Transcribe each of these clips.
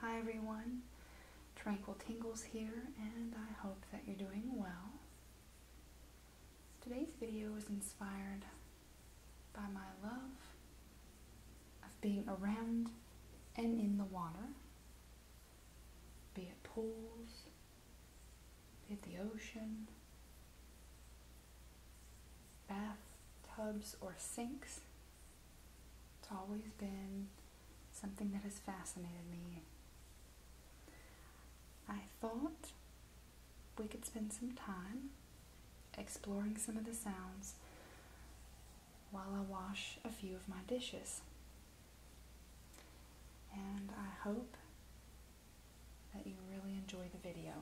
Hi everyone, Tranquil Tingles here and I hope that you're doing well. Today's video was inspired by my love of being around and in the water, be it pools, hit the ocean, bathtubs or sinks. It's always been something that has fascinated me. I thought we could spend some time exploring some of the sounds while I wash a few of my dishes. And I hope that you really enjoy the video.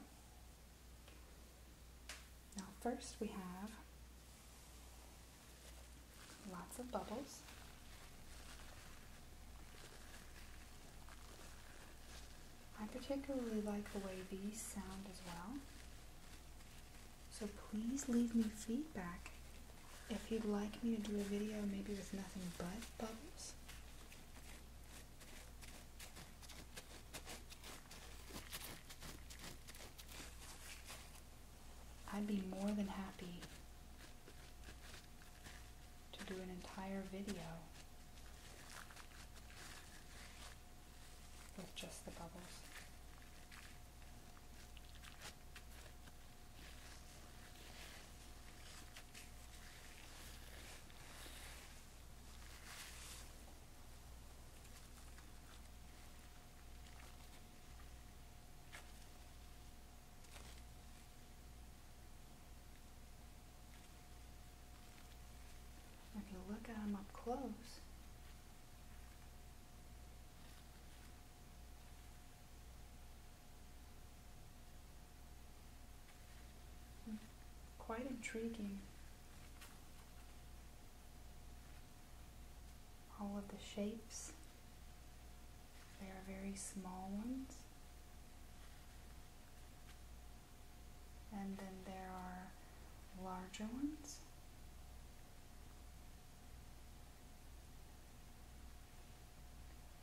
Now first we have lots of bubbles. I particularly like the way these sound as well. So please leave me feedback if you'd like me to do a video maybe with nothing but bubbles. I'd be more than happy to do an entire video with just the bubbles. If you look at them up close. Quite intriguing. All of the shapes. They are very small ones. And then there are larger ones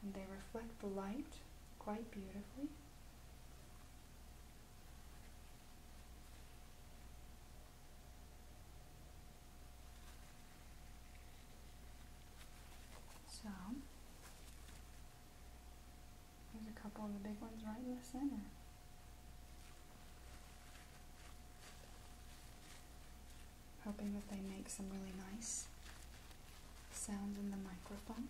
and they reflect the light quite beautifully. So, there's a couple of the big ones right in the center. Hoping that they make some really nice sounds in the microphone.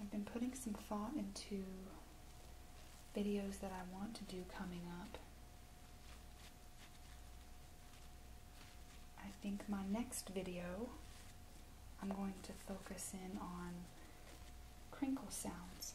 I've been putting some thought into videos that I want to do coming up. I think my next video I'm going to focus in on crinkle sounds.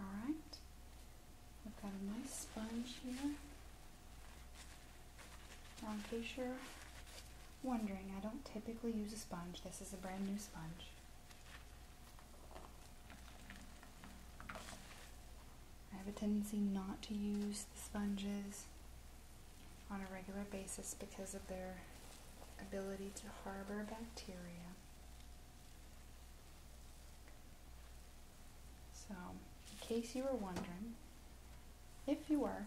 Alright, we've got a nice sponge here. Now, in case you're wondering, I don't typically use a sponge. This is a brand new sponge. I have a tendency not to use the sponges on a regular basis because of their ability to harbor bacteria. So, in case you were wondering, if you were,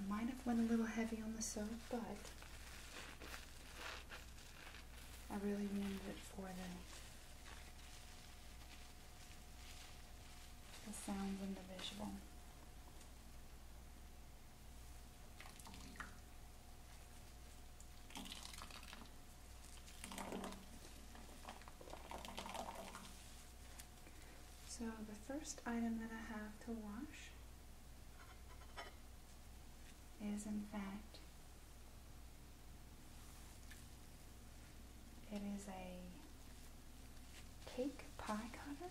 I might have went a little heavy on the soap, but I really wanted it for the the sounds and the visual. So the first item that I have to wash is in fact it is a cake pie cutter.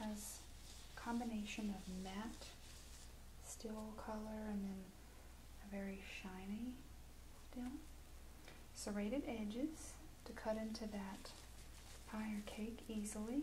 Has combination of matte steel color and then a very shiny steel. Serrated edges to cut into that pie or cake easily.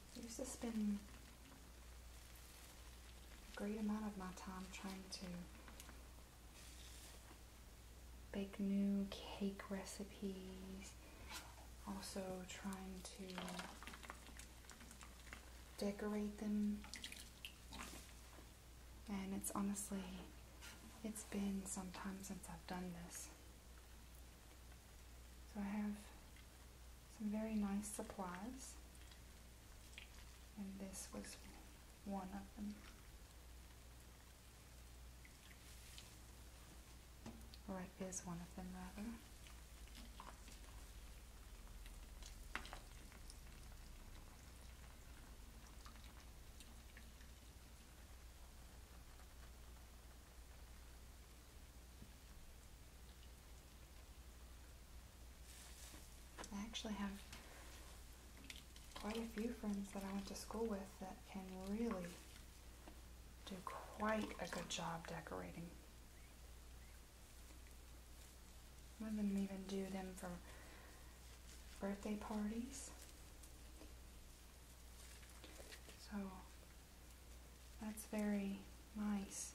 I There's just been a great amount of my time trying to bake new cake recipes, also trying to decorate them. And it's honestly, it's been some time since I've done this. So I have some very nice supplies, and this was one of them. Right, is one of them, rather. I actually have quite a few friends that I went to school with that can really do quite a good job decorating. Some of them even do them for birthday parties. So that's very nice.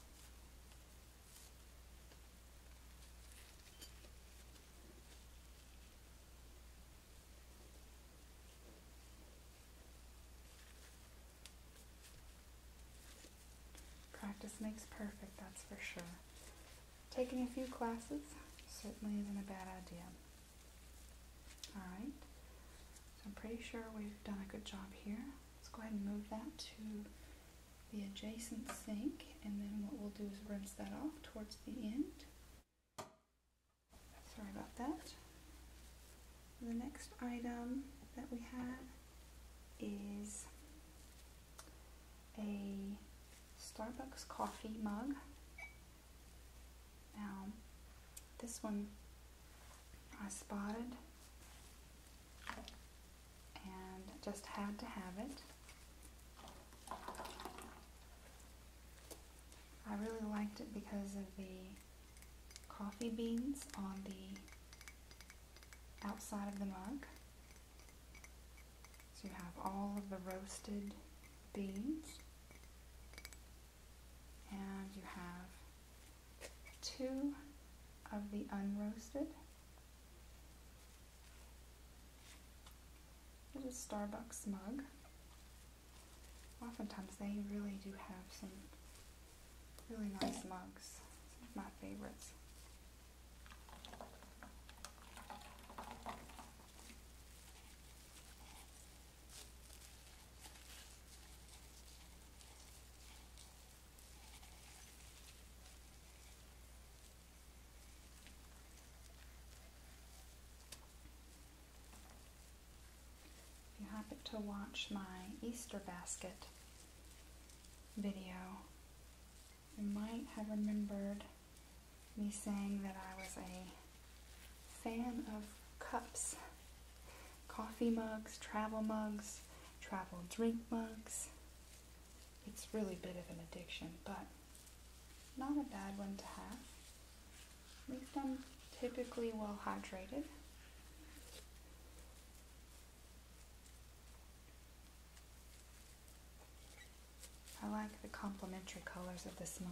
Practice makes perfect, that's for sure. Taking a few classes certainly isn't a bad idea. Alright, I'm pretty sure we've done a good job here. Let's go ahead and move that to the adjacent sink and then what we'll do is rinse that off towards the end. Sorry about that. The next item that we have is a Starbucks coffee mug. Now, this one I spotted and just had to have it. I really liked it because of the coffee beans on the outside of the mug. So you have all of the roasted beans and you have two of the unroasted. There's Starbucks mug. Oftentimes they really do have some really nice mugs. Some of my favorites. If you happen to watch my Easter basket video, you might have remembered me saying that I was a fan of cups coffee mugs, travel mugs, travel drink mugs. It's really a bit of an addiction, but not a bad one to have. At them typically well hydrated. I like the complementary colors of this mug.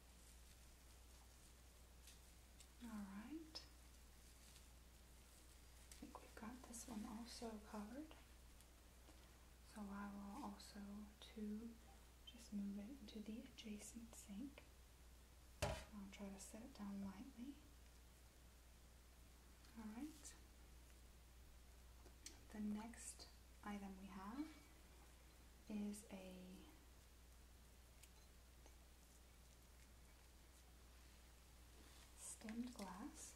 Alright. I think we've got this one also covered. So I will also too just move it into the adjacent sink. I'll try to set it down lightly. Alright. The next item we have is a stemmed glass.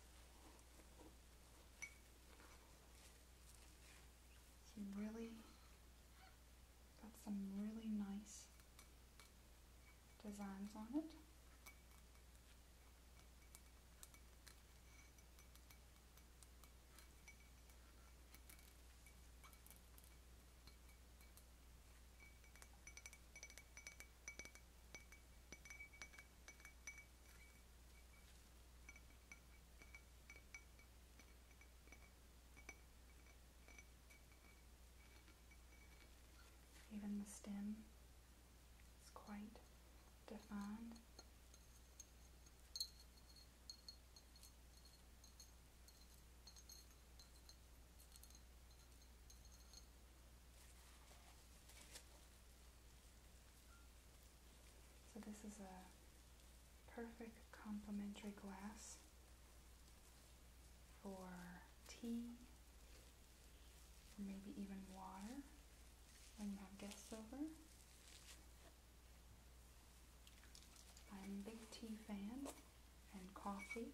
Some really got some really nice designs on it. Even the stem is quite defined. So this is a perfect complementary glass for tea, or maybe even water when you have guests over. I'm a big tea fan and coffee.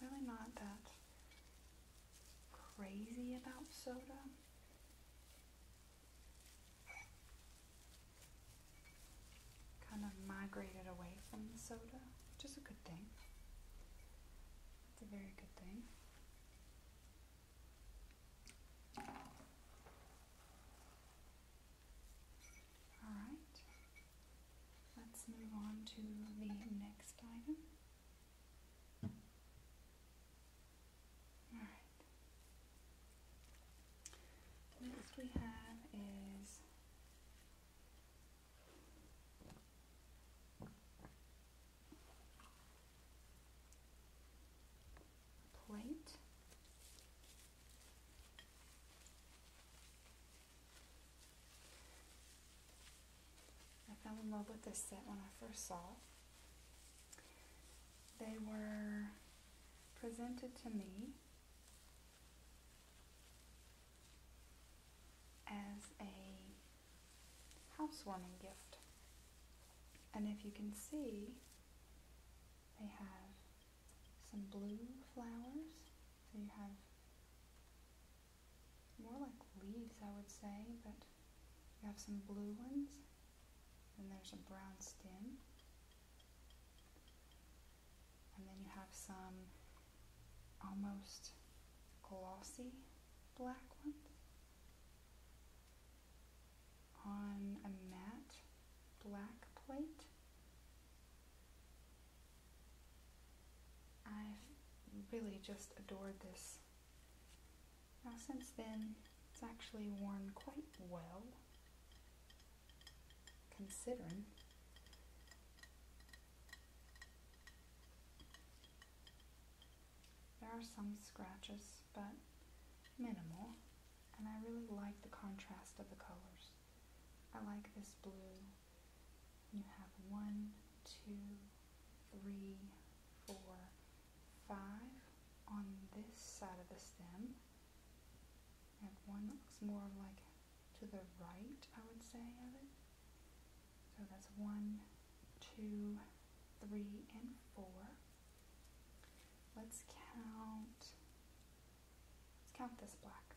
Really not that crazy about soda. Kind of migrated away from the soda, which is a good thing. It's a very good thing. All right. Let's move on to the next item. Alright. Next we have is plate I fell in love with this set when I first saw it. They were presented to me as a housewarming gift. And if you can see, they have some blue flowers so you have more like leaves, I would say, but you have some blue ones, and there's a brown stem, and then you have some almost glossy black ones on a matte black plate. I've really just adored this. Now since then, it's actually worn quite well, considering. There are some scratches, but minimal, and I really like the contrast of the colors. I like this blue you have one, two, three, four, five on this side of the stem. You have one that looks more like to the right, I would say, of it. So that's one, two, three, and four. Let's count, let's count this black.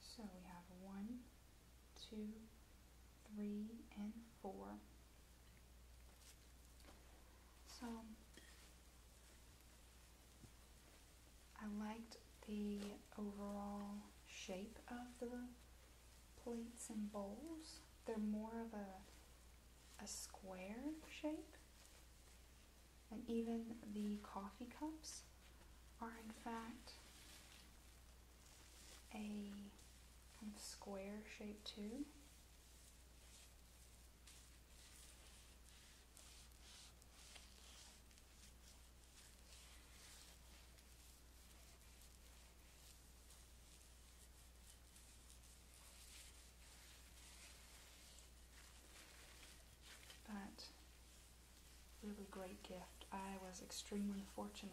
So we have one, two, three, and four. So I liked the overall shape of the plates and bowls. They're more of a a square shape and even the coffee cups are in fact a square shape too. But really great gift. I was extremely fortunate.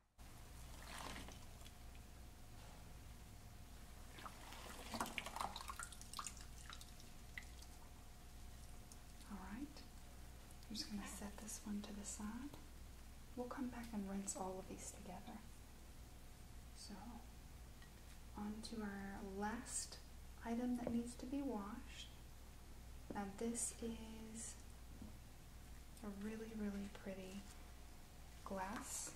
Alright, I'm just going to set this one to the side. We'll come back and rinse all of these together. So, on to our last item that needs to be washed. Now, this is a really, really pretty glass.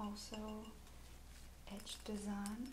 Also etched design.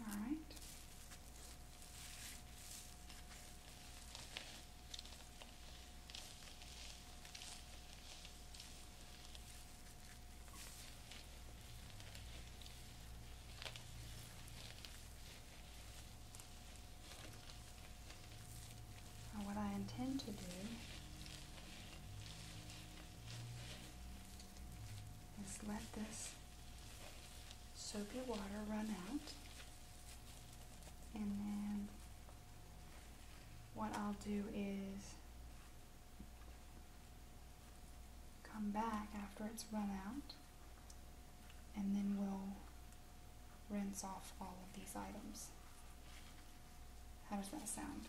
All right. what I intend to do is let this soapy water run out. And then what I'll do is come back after it's run out and then we'll rinse off all of these items. How does that sound?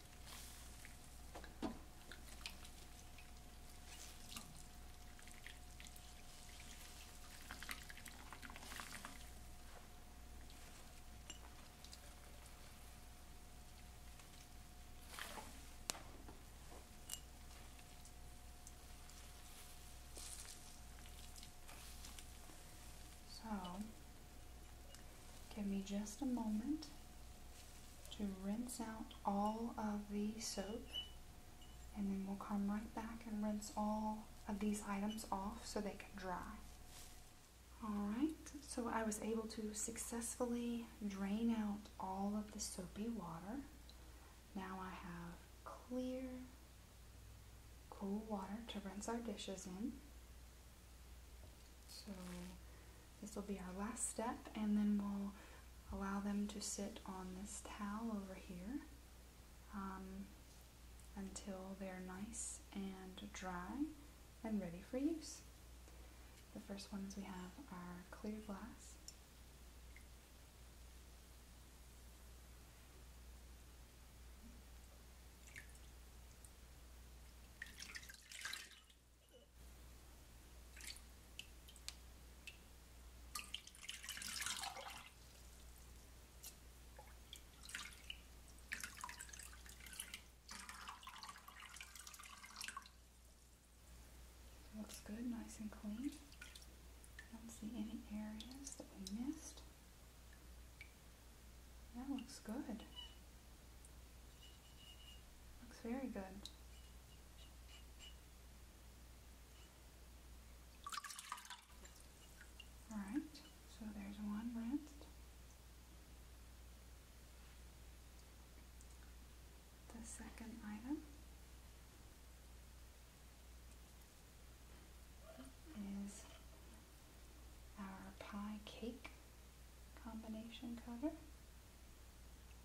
So, give me just a moment to rinse out all of the soap and then we'll come right back and rinse all of these items off so they can dry. Alright, so I was able to successfully drain out all of the soapy water. Now I have clear, cool water to rinse our dishes in. So this will be our last step and then we'll allow them to sit on this towel over here um, until they're nice and dry and ready for use. The first ones we have are clear glass. Looks good, nice and clean. Don't see any areas that we missed. That looks good. Looks very good. Alright, so there's one rinsed. The second item is our pie cake combination cover.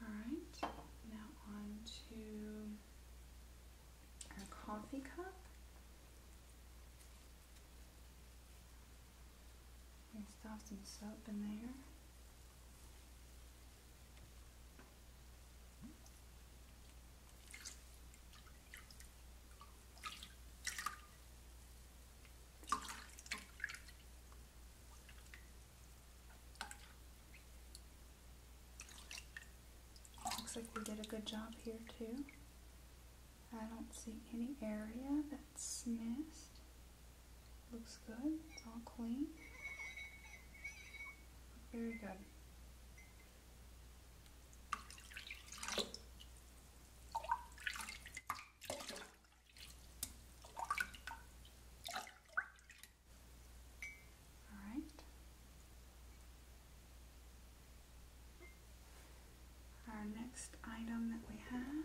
All right, now on to our coffee cup. We stuff some soap in there. Looks like we did a good job here too. I don't see any area that's missed. Looks good. It's all clean. Very good. All right. Our next item that we have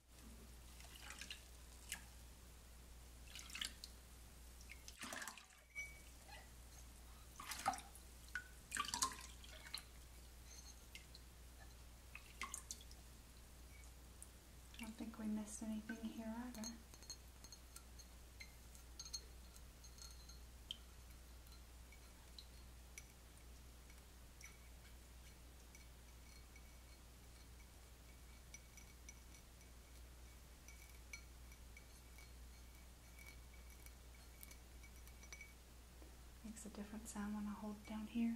I don't think we missed anything here either. Makes a different sound when I hold it down here.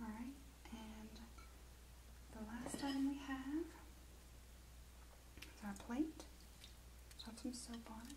Alright, and the last item we have is our plate. let some soap on it.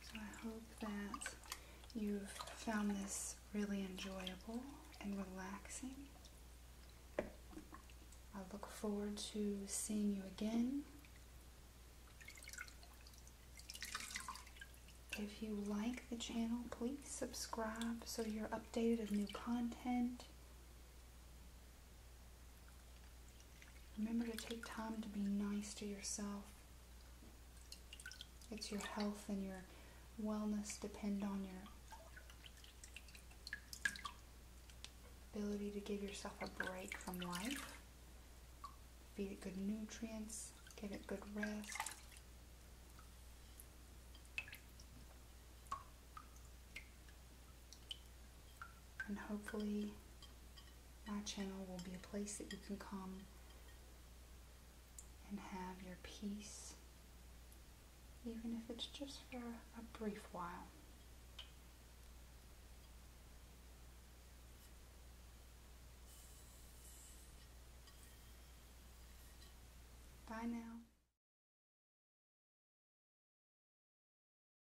So I hope that you've found this really enjoyable and relaxing. I look forward to seeing you again. If you like the channel, please subscribe so you're updated of new content. Remember to take time to be nice to yourself. It's your health and your wellness depend on your ability to give yourself a break from life. Feed it good nutrients, give it good rest. And hopefully, my channel will be a place that you can come and have your peace, even if it's just for a brief while. Bye now.